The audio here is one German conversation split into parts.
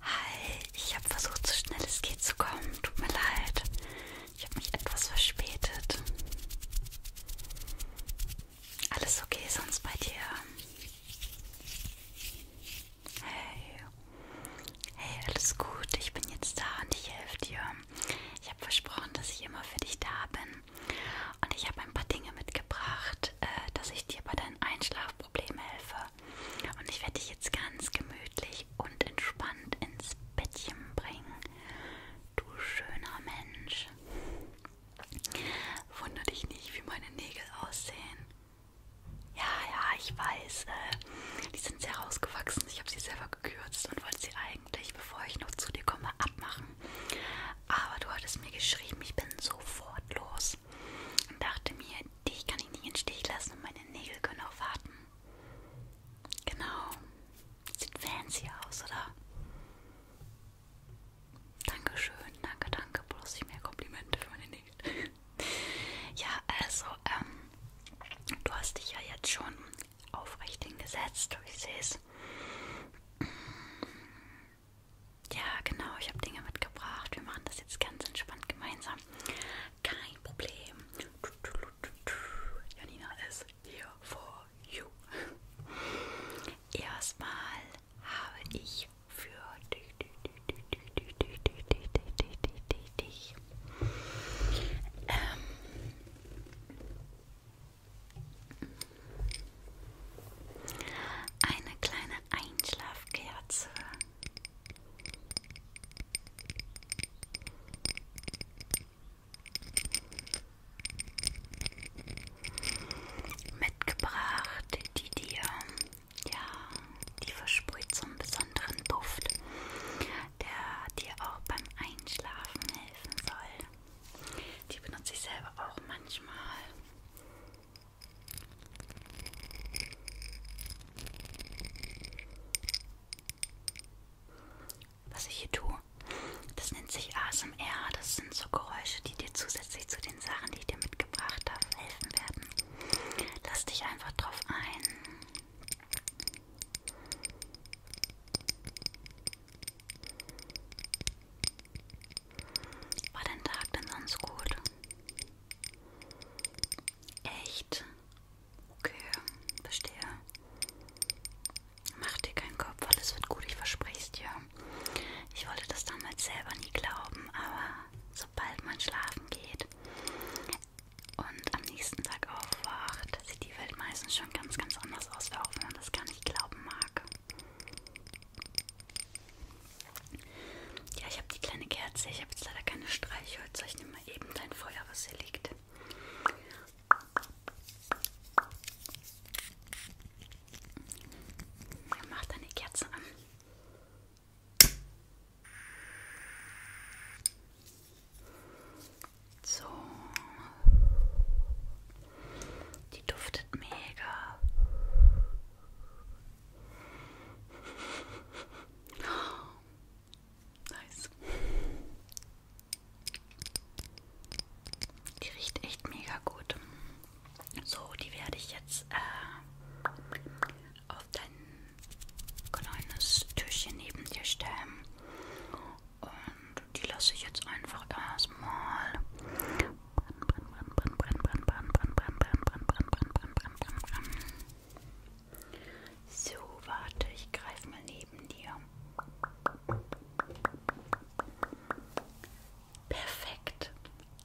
Hi, ich habe versucht, so schnell es geht zu kommen. Tut mir leid. Ich habe mich etwas verspätet. Alles okay sonst bei dir? Hey. Hey, alles gut. Ich bin jetzt da und ich helfe dir. Ich habe versprochen, dass ich immer für dich da bin. Und ich habe ein paar Dinge mitgebracht, äh, dass ich dir bei deinen Einschlafproblemen helfe. Und ich werde dich jetzt ganz gemütlich und entspannt ins Bettchen bringen. Du schöner Mensch. Wunder dich nicht, wie meine Nägel aussehen. Ja, ja, ich weiß. Äh, die sind sehr rausgewachsen. Ich habe sie selber gekürzt und wollte sie eigentlich, bevor ich noch zu dir komme, abmachen. Aber du hattest mir geschrieben, ich bin sofort los aus und dachte mir, dich kann ich nicht in Stich lassen und meine Nägel können auch warten. Genau. Sieht fancy aus, oder? Dankeschön, danke, danke. Bloß ich mehr Komplimente für meine Nägel. ja, also, ähm, du hast dich ja jetzt schon aufrecht hingesetzt, ich sehe es ja, genau, ich habe Dinge mitgebracht. Wir machen das jetzt ganz entspannt gemeinsam. Kein Problem. Janina ist here for you. Erstmal habe ich für dich, dich, dich, dich, dich, dich, dich, dich, dich, dich, dich. Ähm, eine kleine Einschlafkerze. Mitgebracht, die dir, ja, die versprüht so einen besonderen Duft, der dir auch beim Einschlafen helfen soll. Die benutze ich selber auch manchmal. Was ich hier tue, das nennt sich ASMR. Das sind so Geräusche, die dir zusätzlich zu den Sachen, die ich dir mitgebracht habe, helfen werden. Lass dich einfach drauf ein. War dein Tag denn sonst gut? Echt? Okay, verstehe. Mach dir keinen Kopf, alles wird gut, ich verspreche es dir. Ich wollte das damals selber nie glauben, aber sobald man schlafen geht und am nächsten Tag aufwacht, sieht die Welt meistens schon ganz, ganz anders aus, auch wenn man das gar nicht glauben mag. Ja, ich habe die kleine Kerze. Ich habe jetzt leider keine Streichhölzer. Ich nehme mal eben dein Feuer, was hier liegt. Ja, mach deine Kerze an. So. Die duftet mega. Nice. Die riecht echt mega gut. So, die werde ich jetzt äh, auf dein kleines Türchen neben dir stellen. Und die lasse ich jetzt einfach erstmal. So, warte, ich greife mal neben dir. Perfekt.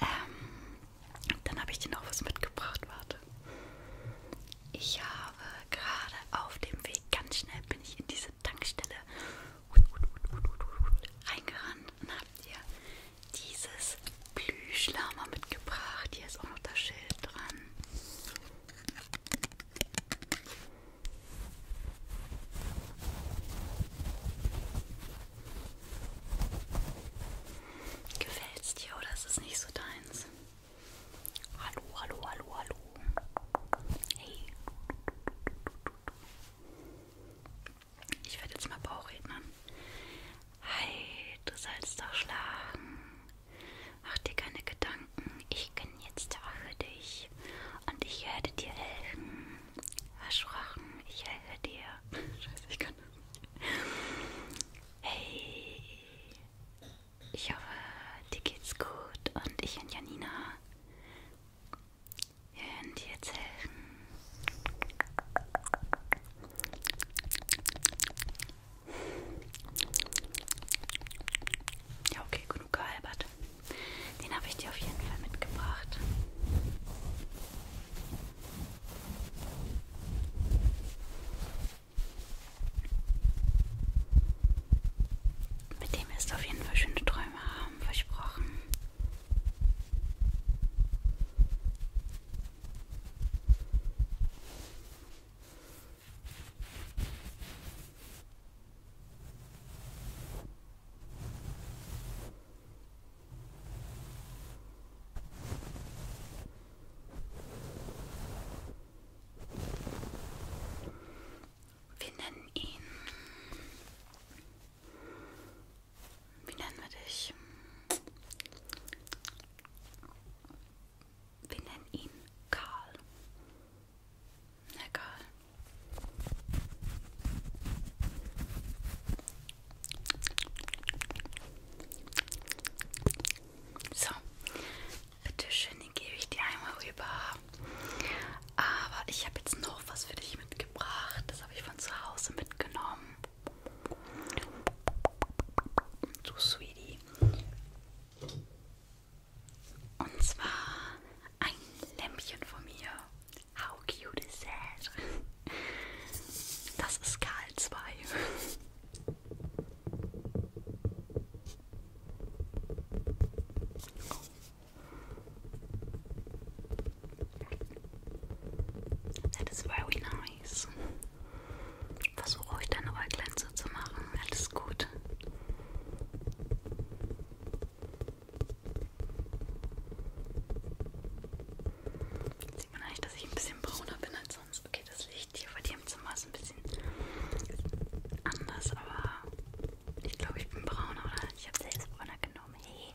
Ähm, dann habe ich dir noch was mitgebracht, warte. Ich habe gerade auf dem Weg Ganz schnell bin ich in diese Tankstelle reingerannt und habe dir dieses Plüschlama mitgebracht. Hier ist auch noch das Schild dran. Gefällt's dir oder ist es nicht so deins? Hallo, hallo, hallo, hallo. Hey. Ich werde jetzt mal Bauchrednern. Hi, halt, du sollst doch schlagen. Mach dir keine Gedanken. Ich bin jetzt da für dich. Und ich werde dir helfen. Versprochen, ich helfe dir. Scheiße, ich kann das nicht. Hey. Ich hoffe, dir geht's gut und ich und Janina werden dir jetzt helfen. Ja, okay, genug gehalbert. Den habe ich dir auf jeden Fall mitgebracht. Mit dem wirst du auf jeden Fall schöne Träume haben, versprochen. Hm. Wir nennen ihn. Wie nennen wir dich? Wir nennen ihn Karl. Na Karl. So, bitteschön, den gebe ich dir einmal rüber. Aber ich habe jetzt noch was für dich mitgebracht. Das habe ich von zu Hause mitgenommen. Du Sweetie. Und zwar ein Lämpchen von mir. How cute is that? Das ist Karl 2. That is very nice. Versuche ruhig deine Äuglein zu machen. Alles gut. Sieht man eigentlich, dass ich ein bisschen brauner bin als sonst? Okay, das Licht hier bei dir im Zimmer ist ein bisschen anders, aber ich glaube, ich bin brauner, oder? Ich habe selbst brauner genommen. Hey.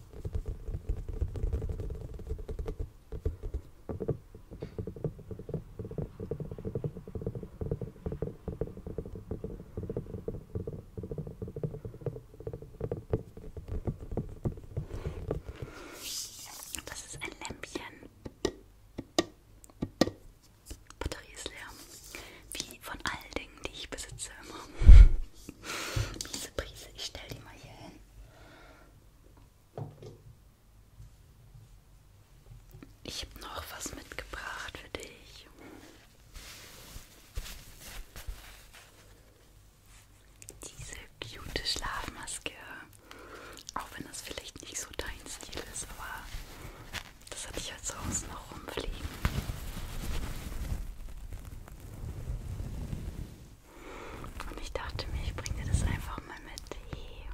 Das ist ein Lämpchen. Batterie ist leer. Wie von allen Dingen, die ich besitze immer heiße Brise. Ich stelle die mal hier hin. Ich habe noch was mitgebracht für dich. Diese cute Schlafmaske. Auch wenn das vielleicht nicht so dein Stil ist, aber das hatte ich ja zu Hause noch rumfliegen. Und ich dachte mir, ich bringe dir das einfach mal mit. Hier.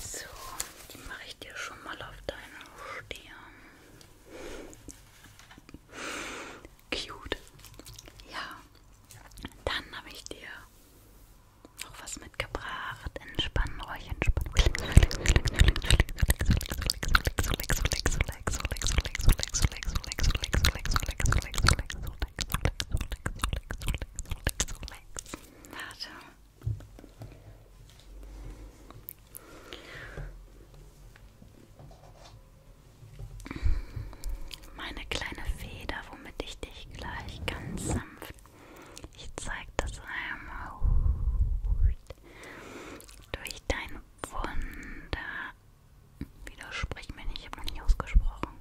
So, die mache ich dir schon mal auf deine Stirn. Cute. Ja, dann habe ich dir noch was mitgebracht. Entspann euch, entspann euch relax, relax. Warte. Meine kleine Feder, womit ich dich gleich ganz sanft, ich zeig das einmal durch dein Wunder Widersprich mir nicht, ich habe noch nicht ausgesprochen.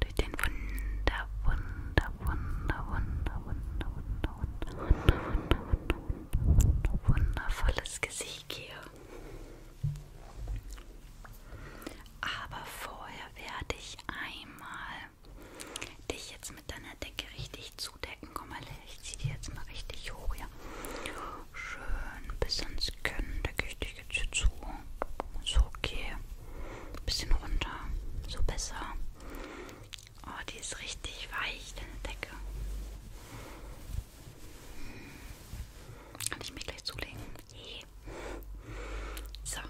Durch den Wunder, Wunder, Wunder, Wunder, Wunder, Wunder, Wunder, Wunder, Wunder, Wunder, Wunder, wundervolles Gesicht hier. Aber vorher werde ich einmal dich jetzt mit deiner Decke richtig zudecken. Komm mal her, ich ziehe die jetzt mal richtig hoch, ja. Schön bis ans Können decke ich dich ich gebe dir zu. So, okay. Ein bisschen runter. So besser. Oh, die ist richtig weich, deine Decke. Hm. Kann ich mir gleich zulegen? Yeah. So.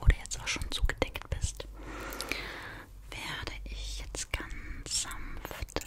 Wo du jetzt auch schon zugedeckt bist, werde ich jetzt ganz sanft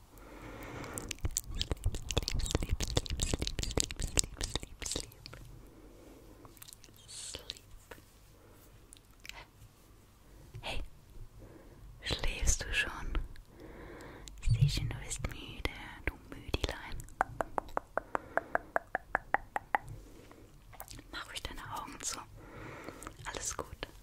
sleep, sleep, sleep, sleep, sleep, sleep, sleep, sleep. Hey, schläfst du schon? Sehe schon, du bist müde, du Müdilein. Mach ruhig deine Augen zu. Alles gut.